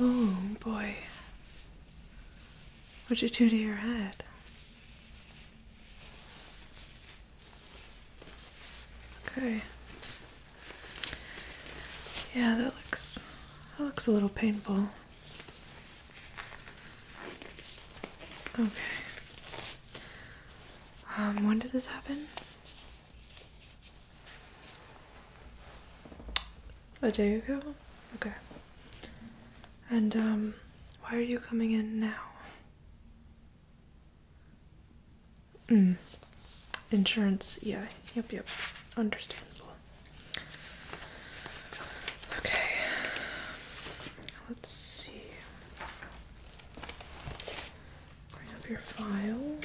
Oh boy. What'd you do to your head? Okay. Yeah, that looks that looks a little painful. Okay. Um, when did this happen? A day ago? Okay. And, um, why are you coming in now? Hmm. Insurance, yeah, yep, yep. Understandable. Okay. Let's see. Bring up your file.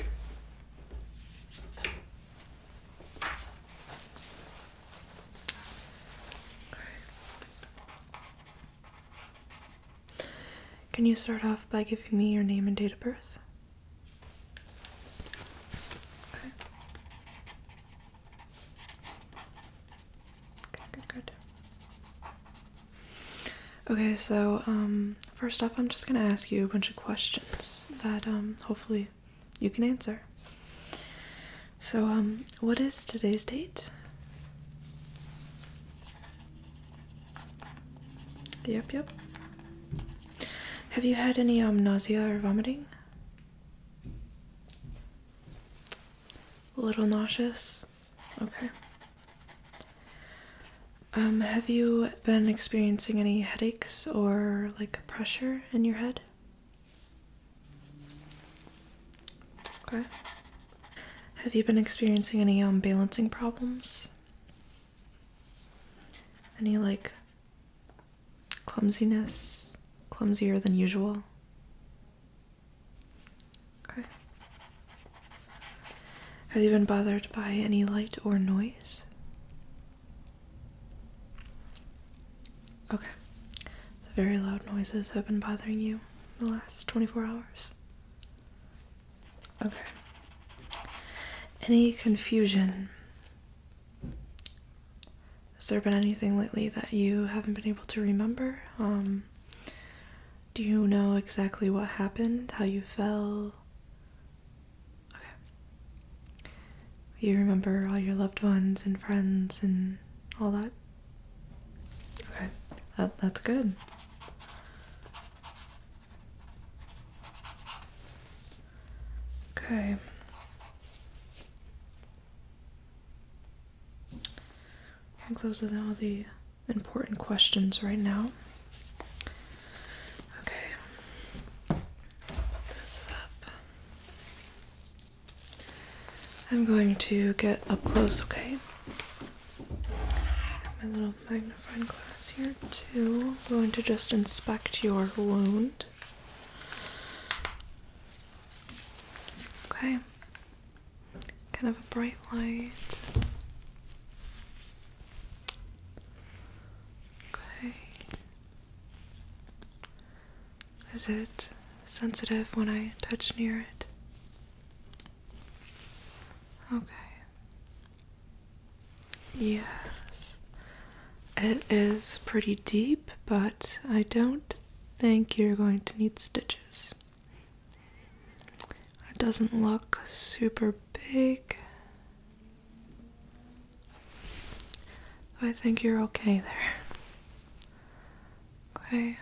Can you start off by giving me your name and date of birth? Okay. good, good. Okay, so um, first off, I'm just gonna ask you a bunch of questions that um, hopefully you can answer. So, um, what is today's date? Yep, yep. Have you had any nausea or vomiting? A little nauseous? Okay. Um, have you been experiencing any headaches or like pressure in your head? Okay. Have you been experiencing any um, balancing problems? Any like clumsiness, clumsier than usual? Okay. Have you been bothered by any light or noise? Okay. So very loud noises have been bothering you the last 24 hours. Okay. Any confusion? Has there been anything lately that you haven't been able to remember? Um, do you know exactly what happened? How you fell? Okay. You remember all your loved ones and friends and all that? Okay, that, that's good. Okay. I think those are all the important questions right now. Okay, I'm going to get up close, okay? My little magnifying glass here, too. I'm going to just inspect your wound. Okay, kind of a bright light. Okay. Is it sensitive when I touch near it? Okay. Yes. It is pretty deep, but I don't think you're going to need stitches. It doesn't look super big. I think you're okay there. Okay.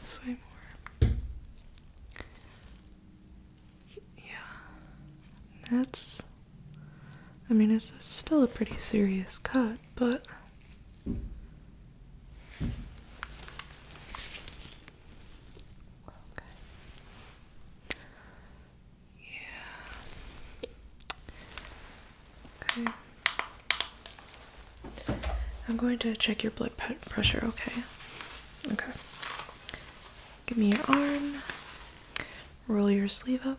This way more. Yeah. It's. I mean, it's still a pretty serious cut, but Okay. Yeah. Okay. I'm going to check your blood pressure, okay? Okay. Give me your arm. Roll your sleeve up.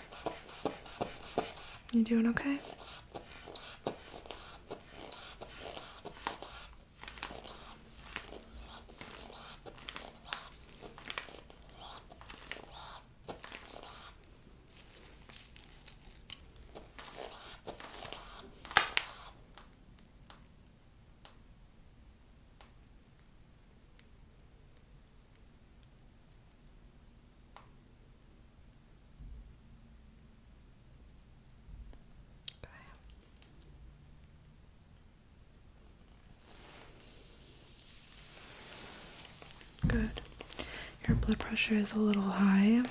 You doing okay? Good. Your blood pressure is a little high,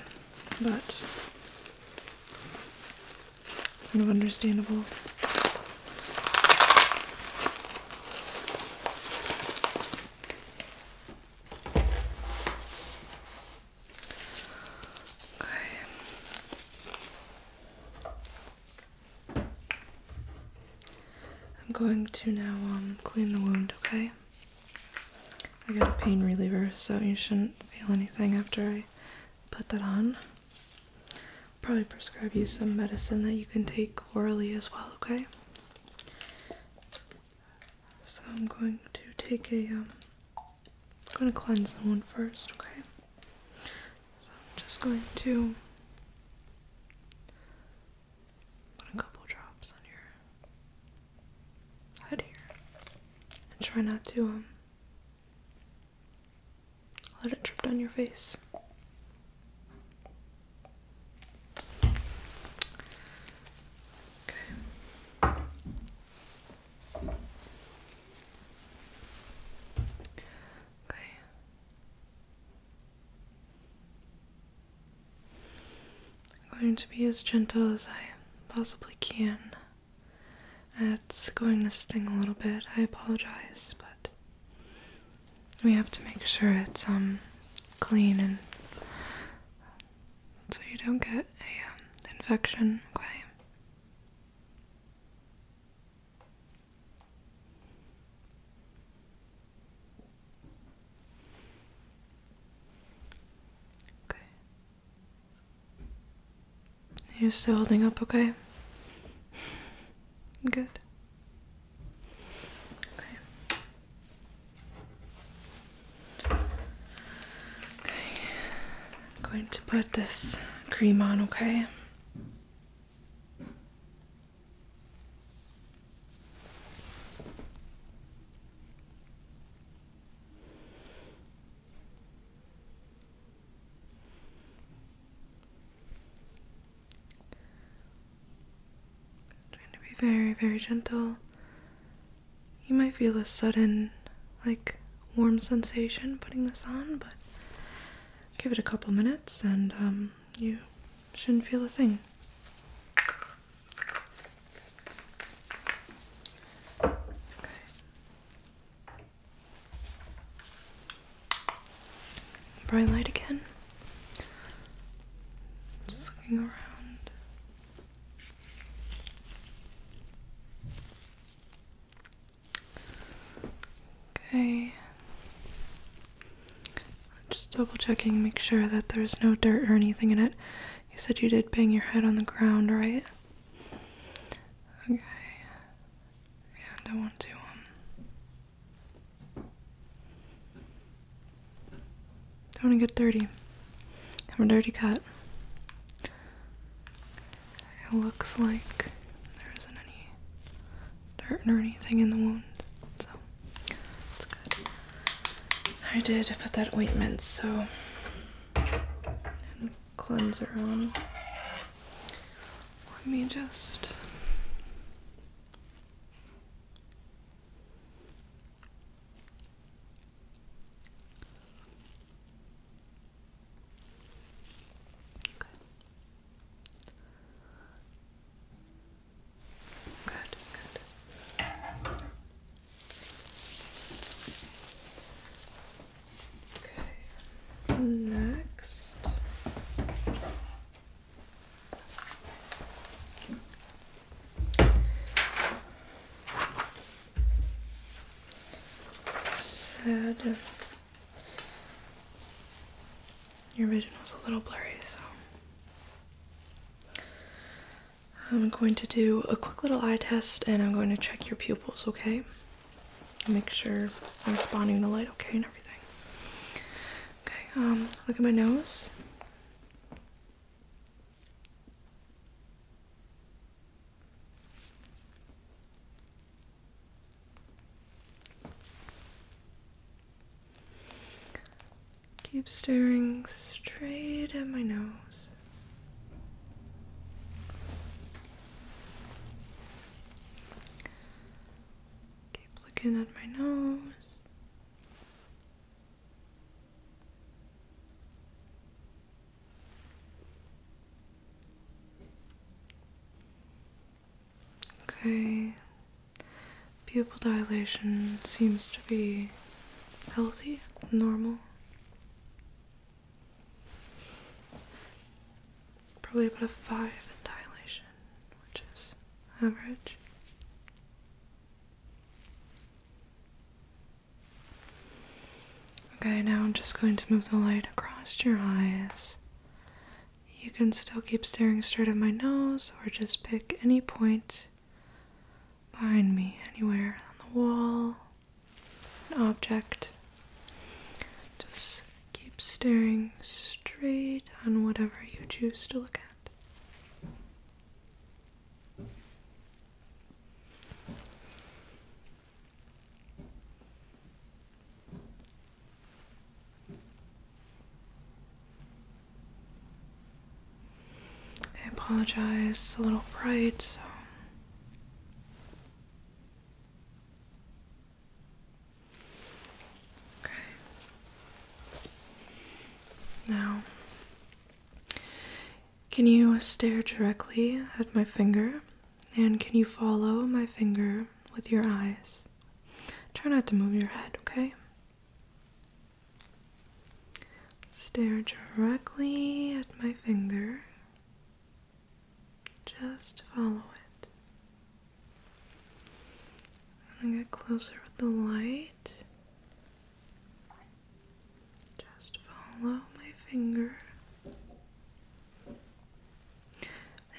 but kind of understandable. Okay. I'm going to now um, clean the wound, okay? I got a pain reliever, so you shouldn't feel anything after I put that on. Probably prescribe you some medicine that you can take orally as well, okay? So I'm going to take a. am um, going to cleanse the one first, okay? So I'm just going to put a couple drops on your head here. And try not to um let it drip down your face. I'm going to be as gentle as I possibly can. It's going to sting a little bit. I apologize, but we have to make sure it's um, clean and so you don't get a um, infection. Okay. Okay. you still holding up, okay? Good. Okay. Okay. I'm going to put this cream on, okay? Trying to be very, very gentle. You might feel a sudden, like, warm sensation putting this on, but give it a couple minutes and um, you shouldn't feel a thing. Bright light again. Just looking around. Okay. Just double checking, make sure that there's no dirt or anything in it. You said you did bang your head on the ground, right? Okay. And I want to, um, I want to get dirty. I'm a dirty cat. It looks like there isn't any dirt or anything in the wound, so it's good. I did put that ointment, so and cleanser on. Let me just Good, good. Okay. Next. Sad. Your vision was a little blurry, so I'm going to do a quick little eye test and I'm going to check your pupils, okay? Make sure I'm responding to light okay now. Okay, um, look at my nose. Keep staring straight at my nose. Keep looking at my nose. Okay, pupil dilation seems to be healthy, normal. Probably about a five in dilation which is average. Okay, now I'm just going to move the light across your eyes. You can still keep staring straight at my nose, or just pick any point behind me, anywhere on the wall, an object. Just Keep staring straight on whatever you choose to look at. I apologize, it's a little bright, so Okay. Now, can you stare directly at my finger? And can you follow my finger with your eyes? Try not to move your head, okay? Stare directly at my finger. Just follow it. I'm going to get closer with the light. Just follow my finger.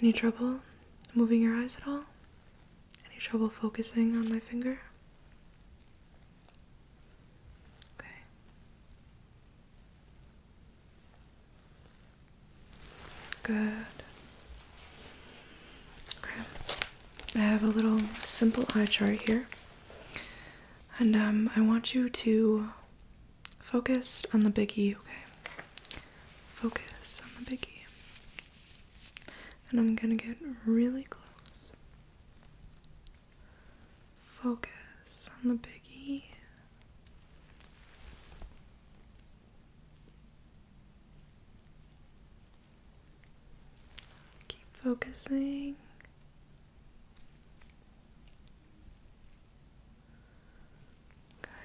Any trouble moving your eyes at all? Any trouble focusing on my finger? Okay. Good. Okay. I have a little simple eye chart here. And um, I want you to focus on the big E. okay? Focus on the big E, And I'm gonna get really close. Focus on the big E. Keep focusing. Okay.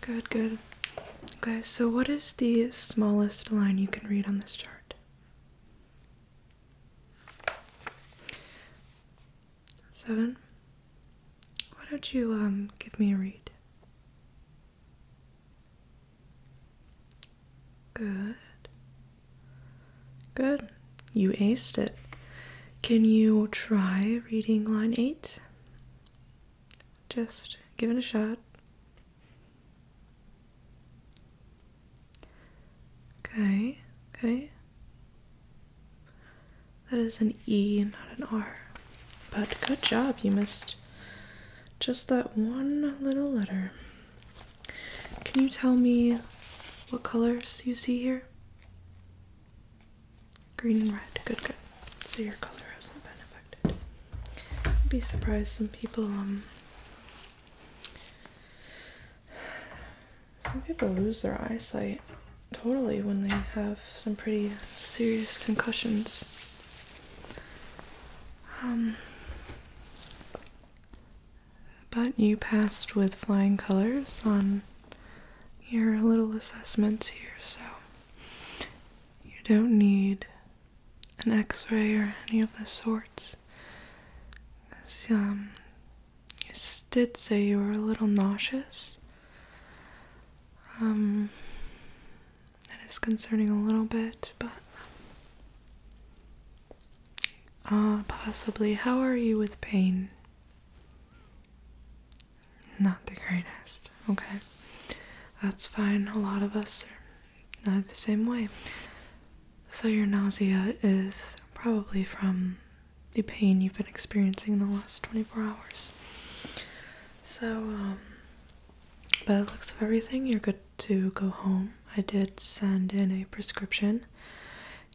Good, good. Okay, so what is the smallest line you can read on this chart? Seven. Why don't you um, give me a read? Good. Good. You aced it. Can you try reading line 8? Just give it a shot. Okay, okay. That is an E, not an R. But good job, you missed just that one little letter. Can you tell me what colors you see here? Green and red. Good, good. So your color hasn't been affected. I'd be surprised some people um, some people lose their eyesight totally when they have some pretty serious concussions. Um, but you passed with flying colors on your little assessments here, so you don't need an x-ray or any of the sorts um, you did say you were a little nauseous um, that is concerning a little bit but uh, possibly how are you with pain not the greatest okay that's fine a lot of us not the same way. So, your nausea is probably from the pain you've been experiencing in the last 24 hours. So, um, by the looks of everything, you're good to go home. I did send in a prescription.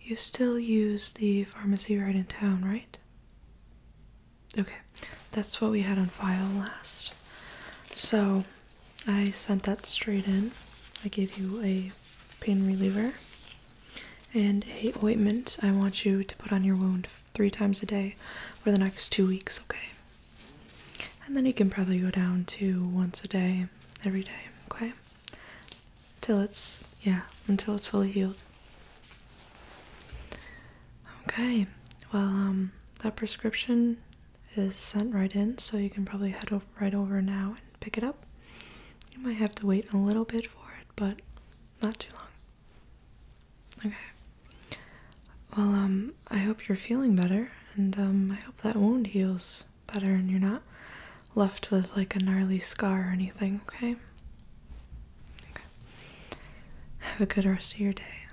You still use the pharmacy right in town, right? Okay, that's what we had on file last. So, I sent that straight in. I gave you a pain reliever and a ointment I want you to put on your wound three times a day for the next two weeks, okay? And then you can probably go down to once a day, every day, okay? Till it's, yeah, until it's fully healed. Okay, well, um, that prescription is sent right in, so you can probably head right over now and pick it up. You might have to wait a little bit for it, but not too long. Okay. Well, um, I hope you're feeling better, and um, I hope that wound heals better and you're not left with like a gnarly scar or anything, okay? Okay. Have a good rest of your day.